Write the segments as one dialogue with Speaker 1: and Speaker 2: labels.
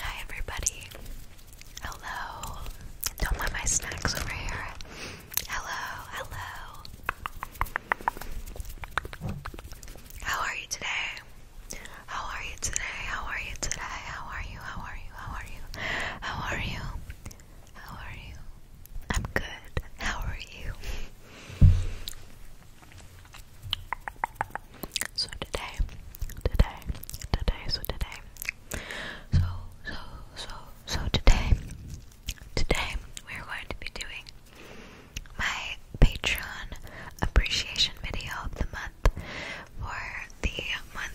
Speaker 1: Hi, everybody. Hello. Don't mind my snacks over here. Hello, hello. How are you today? How are you today? How are you today? How are you? How are you? How are you? How are you? How are you? I'm good. How are you? So today, today, today, so today, so, so, so, so today, today we're going to be doing my Patreon appreciation video of the month for the month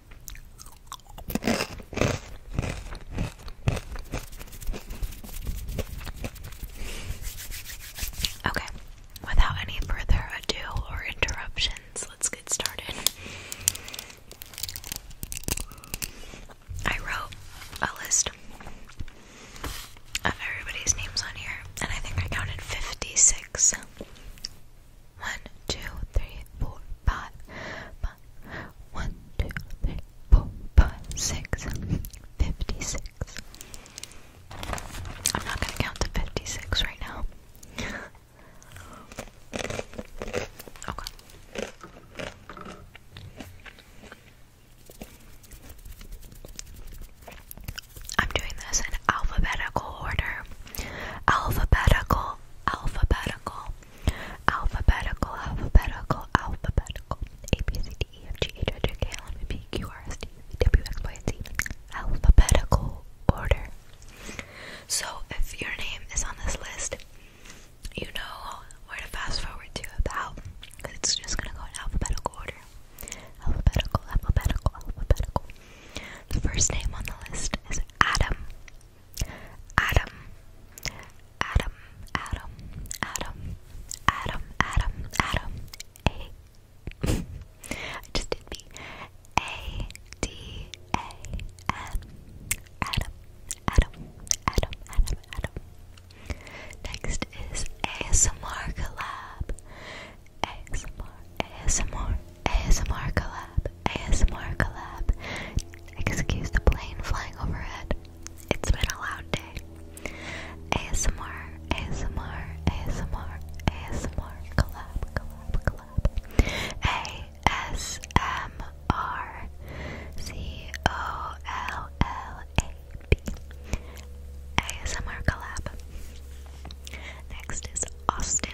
Speaker 1: Okay, without any further ado or interruptions, let's get started. I wrote a list of everybody's names on here, and I think I counted 56. One, two, three, four, five, five. One, two, three, four, five, six. Fifty-six. I'm not gonna count to fifty-six right now. okay. I'm doing this in alphabetical order alphabetical, alphabetical, alphabetical, alphabetical, alphabetical, A B C D E F G H I J K L M N P Q R S T W X Y Z, alphabetical order. So if your name is on this list, you know where to fast forward to about because it's just gonna go in alphabetical order. Alphabetical, alphabetical, alphabetical. The first name on the list is Adam. Adam. Adam. Adam. Adam. Adam. Adam. Adam. A. I just did B. A. D. A. N. Adam. Adam. Adam. Adam. Adam. Next is ASMR collab. ASMR, ASMR, ASMR collab, ASMR collab. Excuse the plane flying overhead. It's been a loud day. ASMR, ASMR, ASMR, ASMR collab, collab, collab. ASMR, C O L L A B. ASMR collab. Next is Austin.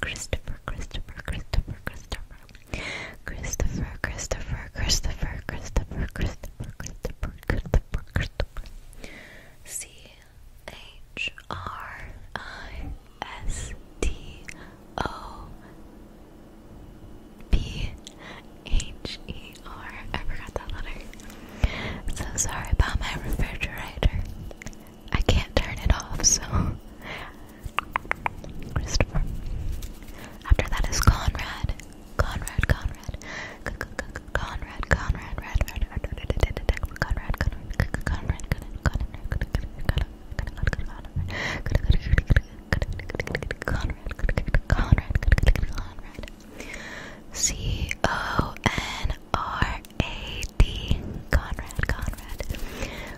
Speaker 1: Christopher, Christopher, Christopher, Christopher, Christopher, Christopher, Christopher, Christopher, Christopher, Christopher, Christopher, Christopher, C H R I S T O P H E R. I forgot that letter. So sorry about my refrigerator. I can't turn it off, so Christopher. After that is Conrad. Conrad, Conrad. Conrad, Conrad, Conrad, Conrad, Conrad, Conrad, C O N R A D Conrad, Conrad,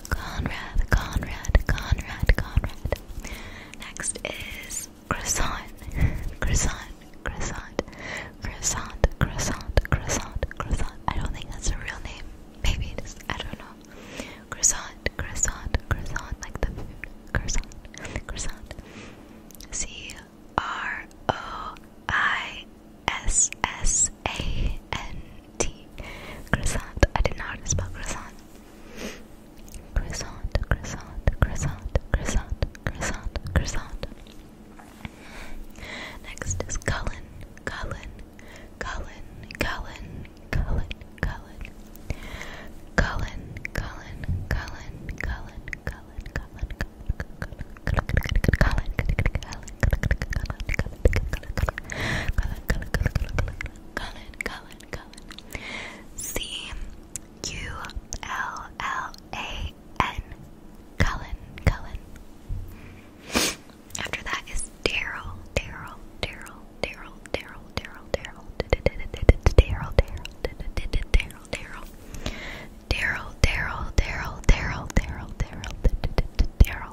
Speaker 1: Conrad, Conrad, Conrad, Conrad. Next is croissant, croissant, croissant, croissant, croissant, croissant, croissant. I don't think that's a real name. Maybe it is. I don't know. Croissant, croissant, croissant, like the Croissant, croissant. C R O I S S A N T. Croissant. I didn't spell croissant. Croissant, croissant, croissant, croissant, croissant, croissant. Next is Cullen, Cullen, Cullen, Cullen. Cullen, Cullen, Cullen, Cullen, Cullen, Cullen, Cullen, Cullen, Cullen, Cullen. After that is Daryl, Daryl, Daryl, Daryl, Daryl, Daryl, Daryl, Daryl, Daryl, Daryl, Daryl, Daryl, Daryl, Daryl, Daryl, Daryl, Daryl,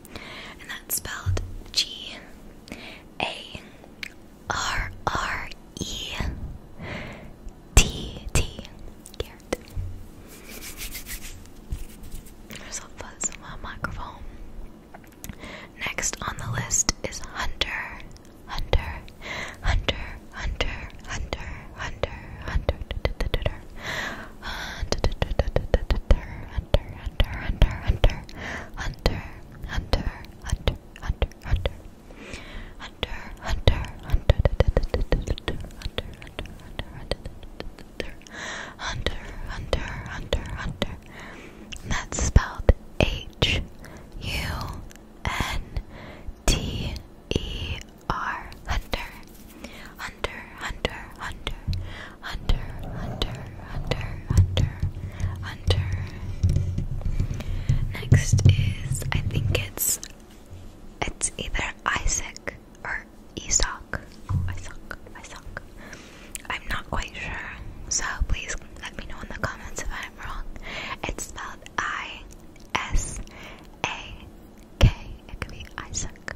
Speaker 1: and that's spelled G A R R E T T Garrett. There's a fuzz in my microphone. Next on the list is Hunter, Hunter, Hunter, Hunter, Hunter, Hunter, Hunter, Hunter, Hunter, hunter, hunter, hunter, hunter, hunter, hunter, hunter, hunter, hunter. Hunter, hunter, hunter, hunter, hunter, hunter, hunter, hunter, hunter, hunter. That's spelled H U N T E R hunter, hunter, hunter, hunter, hunter, hunter, hunter, hunter, hunter, Next is I think it's it's either Isaac or Isaac. Oh, Isaac, I'm not quite sure, so please let me know in the comments if I'm wrong. It's spelled I S A K. It could be Isaac.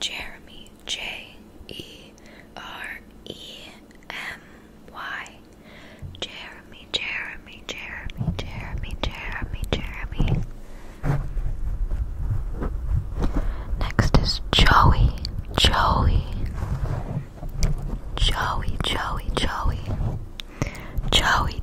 Speaker 1: Jeremy J E R E M Y Jeremy Jeremy Jeremy Jeremy Jeremy Jeremy Next is Joey Joey Joey Joey Joey Joey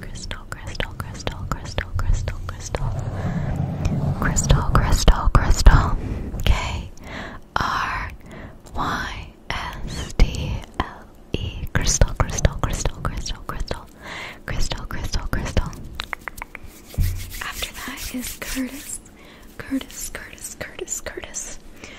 Speaker 1: Crystal, crystal, crystal, crystal, crystal, crystal. Crystal, crystal, crystal. K R Y S T L E. Crystal, crystal, crystal, crystal, crystal. Crystal, crystal, crystal. After that is Curtis. Curtis, Curtis, Curtis, Curtis.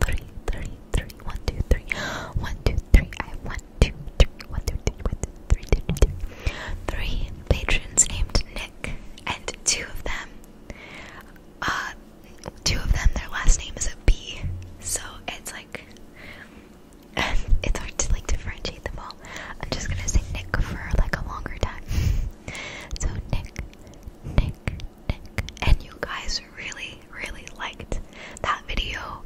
Speaker 1: three, three, three, one, two, three, one, two, three. I have one, two, three, one, two, three, one, two, three, two, two, two. Three patrons named Nick, and two of them, uh, two of them, their last name is a B, so it's like it's hard to like differentiate them all. I'm just gonna say Nick for like a longer time. so Nick, Nick, Nick, and you guys really really liked that video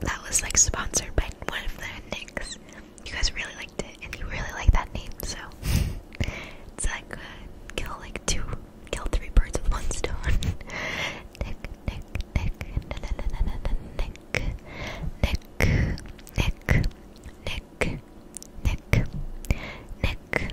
Speaker 1: that was like sponsored by one of the Nicks. You guys really liked it, and you really like that name, so it's like uh, kill like two, kill three birds with one stone. Nick, Nick, Nick, Nick, Nick, Nick, Nick, Nick, Nick, Nick, Nick,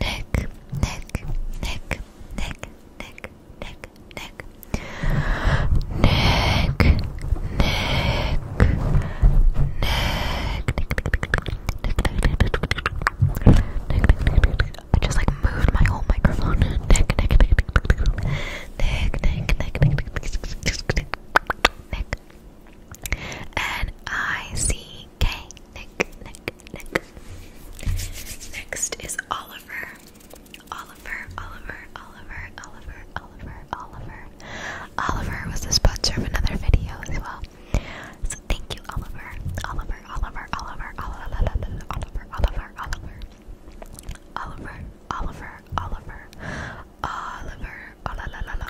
Speaker 1: Nick, Nick, Nick, Nick, Nick, Nick, Nick, Nick, Nick, Nick, I just like moved my whole microphone. Nick, Nick, Nick, Nick, Nick, Nick, Nick, Nick, Nick, Nick, Nick, N I C K. Nick, Nick, Nick. Next is Oliver. Oliver, Oliver, Oliver, Oliver, Oliver, Oliver. Oliver was the sponsor of another video as well. So thank you, Oliver. Oliver, Oliver, Oliver, Oliver, Oliver, Oliver, Oliver. Oliver, Oliver, Oliver, Oliver, Oliver, Oliver,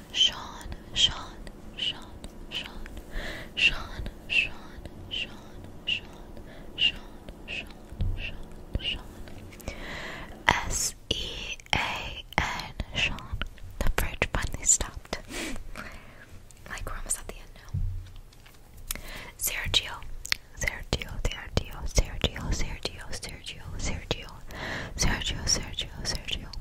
Speaker 1: Sean, Sean, Sean, Sean, Sean, Sean, Sean, Sean, Sean, Sean, Sean, Sean. S E A N Sean. The bridge finally stopped. like we're almost at the end now. Sergio. Sergio, Sergio, Sergio, Sergio, Sergio, Sergio, Sergio, Sergio, Sergio,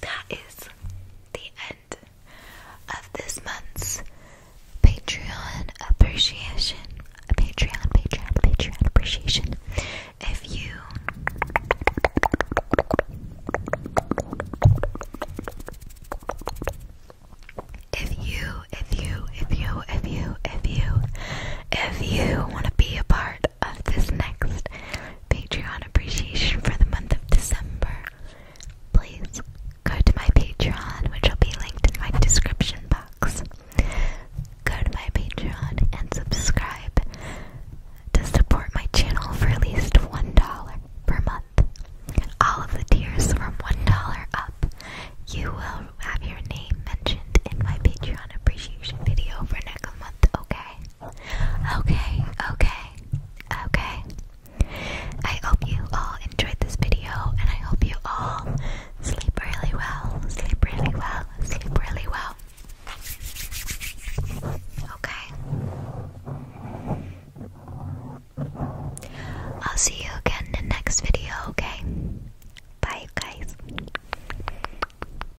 Speaker 1: that is the end of this month's Patreon appreciation. Patreon, Patreon, Patreon appreciation. if you, if you, if you, if you, if you, if you want to be a part of this next Patreon appreciation for the month of December, please go to my Patreon, which will be linked in my description box. Go to my Patreon and subscribe to support my channel for at least $1 per month. All of the tiers from $1 up, you will have your name mentioned in my Patreon appreciation video for next month, okay? Okay, okay, okay. I hope you all enjoyed this video and I hope you all sleep really well, sleep really well, sleep really well. Okay. I'll see you again in the next video, okay? Bye, guys.